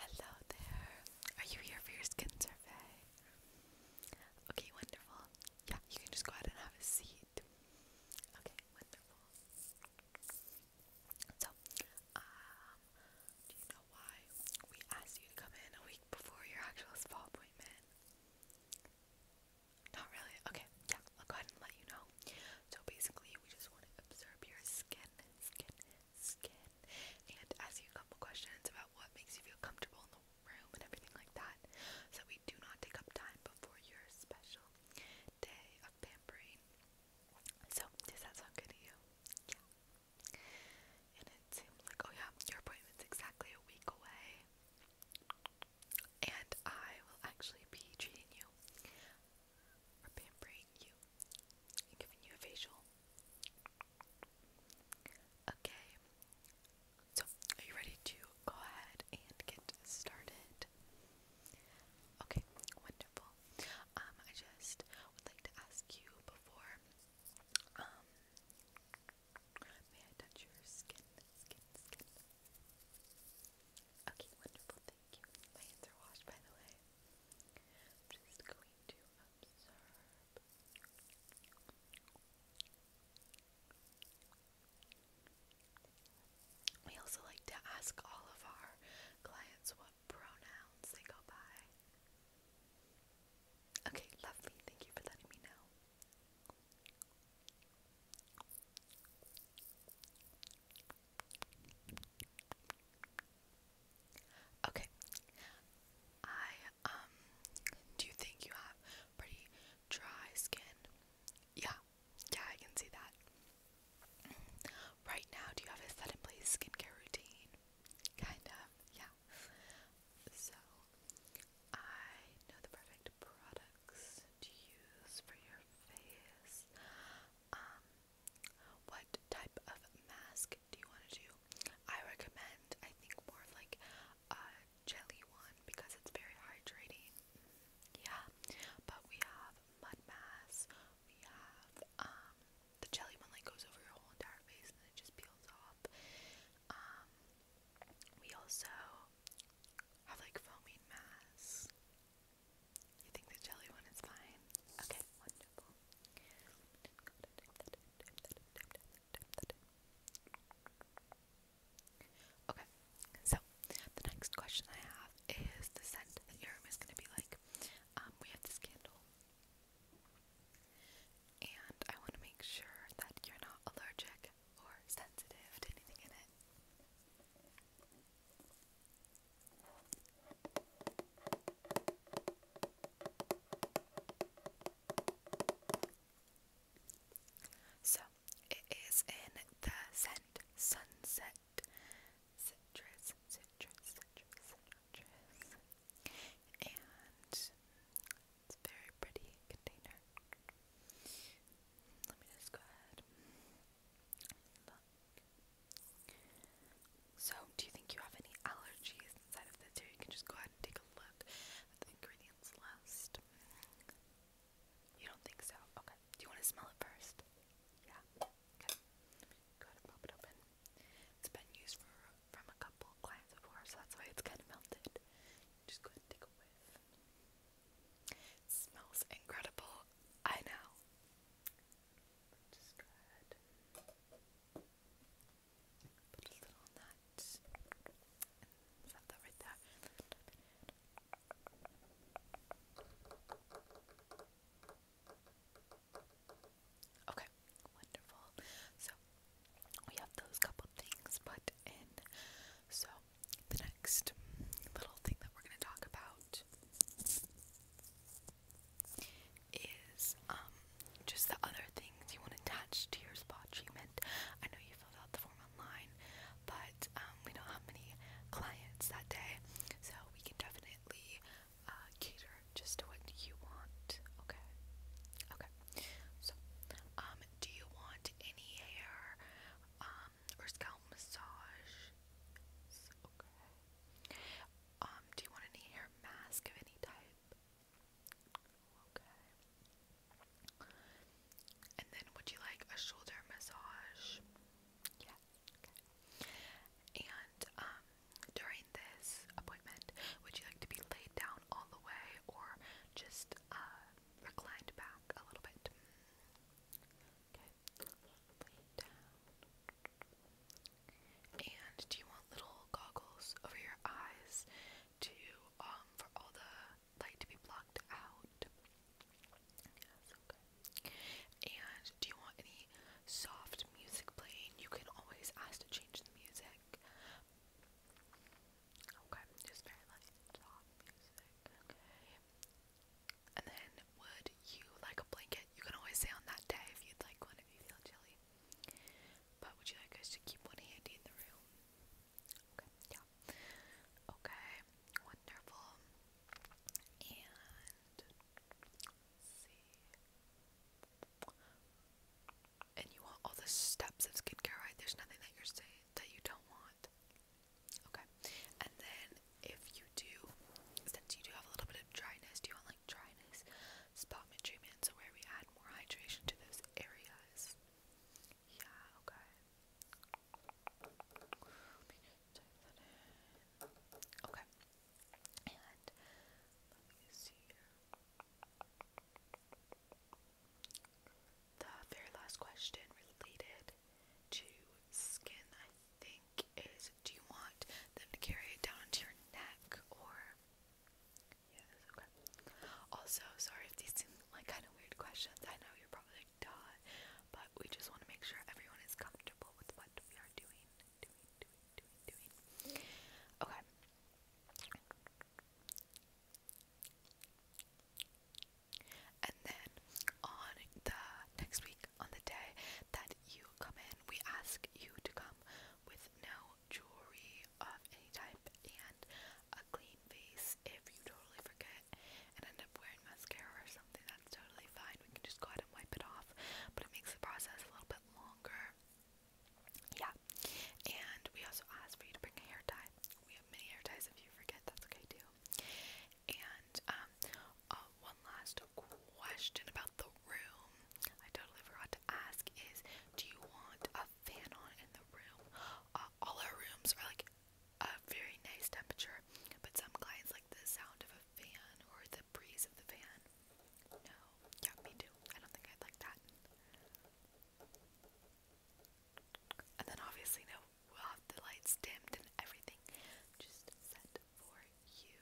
Hello there. Are you here for your skin survey? Okay, wonderful. Yeah, you can just go ahead and have a seat. Okay, wonderful. So, um, do you know why we asked you to come in a week before your actual spa appointment? Not really. Okay, yeah, I'll go ahead and let you know. So basically, we just want to observe your skin, skin, skin, and ask you a couple questions about what makes you feel comfortable in the room and everything like that. So we do not take up time before your special day of pampering. So does that sound good to you? Yeah. And it seems like, oh yeah, your appointment's exactly a week away and I will actually be treating you or pampering you and giving you a facial. Okay, so are you ready to go ahead and get started? Okay, wonderful. Um, I just would like to ask you before, um, may I touch your skin, skin, skin? Okay, wonderful, thank you. My hands are washed, by the way. just going to absorb. We also like to ask all of our clients what pronouns they go by. Okay, lovely. Thank you for letting me know. Okay. I um do you think you have pretty dry skin? Yeah. Yeah, I can see that. Right now, do you have a set in place skincare routine? Kind of, yeah. So, I know the perfect product products do you use for your face? Um, what type of mask do you want to do? I recommend, I think, more of like a jelly one because it's very hydrating. Yeah, but we have mud masks. We have um the jelly one like goes over your whole entire face and then it just peels off. Um, we also have like foaming mass. You think the jelly one is fine? Okay, wonderful. Okay, so the next question I have is the scent that your room is going to be like. Um, we have this candle, and I want to make sure that you're not allergic or sensitive to anything in it. So it is in the scent sunset citrus, citrus, citrus, citrus, and it's very pretty container. Let me just go ahead. So, do you think you have any allergies inside of this? Here, you can just go ahead and take a look at the ingredients list. You don't think so? Okay. Do you want to smell it first? Yeah. Okay. Go ahead and pop it open. It's been used for from a couple clients before, so that's why it's kind of melted. Just go ahead and take a whiff. It smells incredible. I know. Just go ahead. Put a little on that. And set that right there. Okay, wonderful. So we have those couple things put in. So, the next little thing that we're going to talk about is um, just the other things you want attached to your spa treatment. I know you filled out the form online, but um, we know how many clients that day, so we can definitely uh, cater just to what you want. Okay. Okay. So, um, do you want any hair um or scalp massage? Um, do you want any hair mask of any type? Okay. And then would you like a shoulder massage? Yeah. And um during this appointment, would you like to be laid down all the way or just uh, reclined back a little bit. And do you want little goggles over your eyes to um for all the light to be blocked out? Yes, okay. And do you want any soft music playing? You can always ask to change the music. Okay, just very like soft music. Okay. And then would you like a blanket? You can always say on that day if you'd like one if you feel chilly. But would you like us to keep one handy in the room? Okay, yeah. Okay, wonderful. And let's see and you want all the steps of skincare right, there's nothing that you're saying that you don't want. Okay. And then if you do since you do have a little bit of dryness, do you want like dryness spotment treatment? So where we add more hydration to those areas. Yeah, okay. Okay. The very last question related to skin, I think, is do you want them to carry it down to your neck or. Yes, okay. Also, sorry if these seem like kind of weird questions. I know you're probably like, but we just want to make sure everyone is comfortable with what we are doing, doing. Okay, and then on the next week, on the day that you come in, we ask you to come with no jewelry of any type and a clean face. If you totally forget and end up wearing mascara or something, that's totally fine. We can just go ahead and wipe it off, but it makes the process a little bit longer. Yeah. And we also asked for you to bring a hair tie. We have many hair ties if you forget, that's okay too. And um uh, one last question about the room. I totally forgot to ask is do you want a fan on in the room? Uh, all our rooms are like a very nice temperature, but some clients like the sound of a fan or the breeze of the fan. No. Yeah, me too. I don't think I'd like that. And then obviously, no, we'll have the lights dimmed and everything just set for you.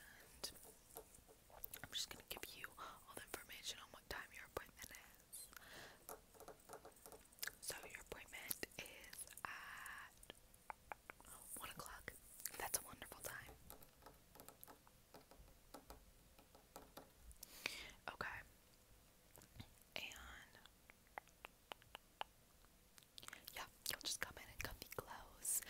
And I'm just gonna give you all the information on what time your appointment is. So your appointment is at one o'clock. That's a wonderful time. Okay. And yeah, you'll just come in in comfy clothes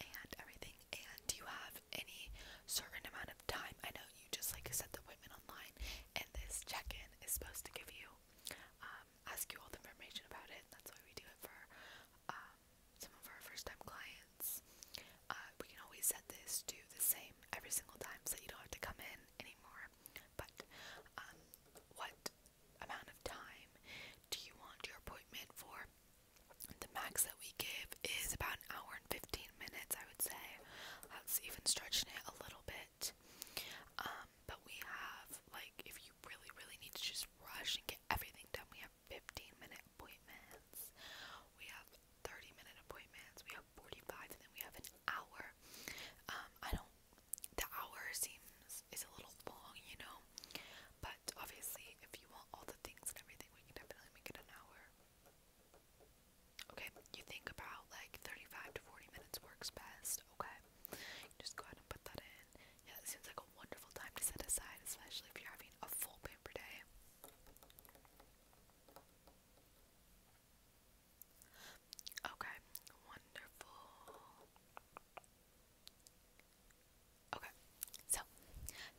and everything. And you have any certain amount of time? I know you just like set the appointment online, and this check-in is supposed to give you um, ask you all the information about it. That's why we do it for uh, some of our first time clients, uh, we can always set this to the same every single time so you don't have to come in anymore. But um, what amount of time do you want your appointment for? The max that we give is about an hour and 15 minutes, I would say. That's even stretching it a little bit. Um, but we have like if you really really need to just rush and get everything done, we have 15 minute appointments, we have 30 minute appointments, we have 45, and then we have an hour. Um, I don't. The hour seems is a little long, you know, but obviously if you want all the things and everything, we can definitely make it an hour. Okay, you think about like 35 to 40 minutes works best, okay? just go ahead and put that in. Yeah, it seems like a wonderful time to set aside, especially if you're having a full pamper day. Okay, wonderful. Okay, so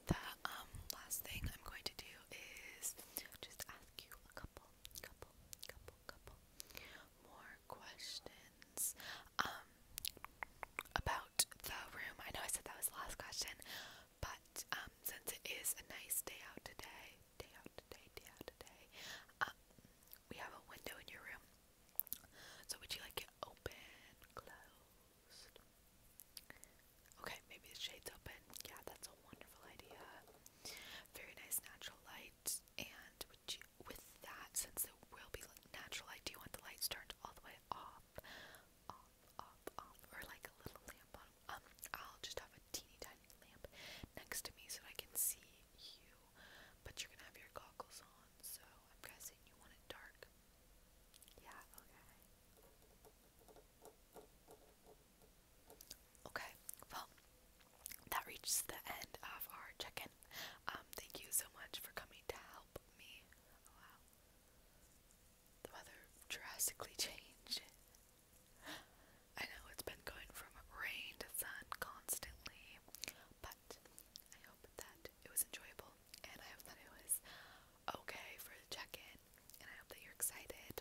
the um last thing I'm going to do is just ask you a couple, couple, couple, couple more questions. Um, about the room, I know I said that was the last question, but um, since it is a nice day out today, day out today, day out today, um, we have a window in your room. So would you like it open, closed? Okay, maybe the shade's open. Yeah, that's a wonderful idea. Very nice natural light. And with that, since it will be natural, light, do you want the lights turned all the way off, off, off, off, or like a little lamp Um, I'll just have a teeny tiny lamp next to me so I can see you, but you're gonna have your goggles on, so I'm guessing you want it dark. Yeah, okay. Okay, well, that reaches the end of our check-in. Um, thank you so much for coming to help me. wow. The weather drastically changed. I know it's been going from rain to sun constantly, but I hope that it was enjoyable and I hope that it was okay for the check-in and I hope that you're excited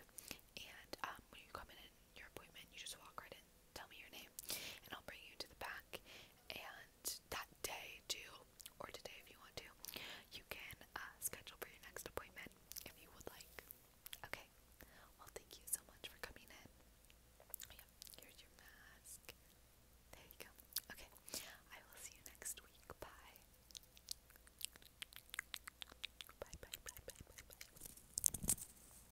and um, when you come in your appointment you just walk right in tell me your name, and I'll bring you to the back. And that day, too, or today if you want to, you can uh, schedule for your next appointment if you would like. Okay. Well, thank you so much for coming in. Oh, here's your mask. There you go. Okay. I will see you next week. Bye. Bye, bye, bye, bye, bye, bye.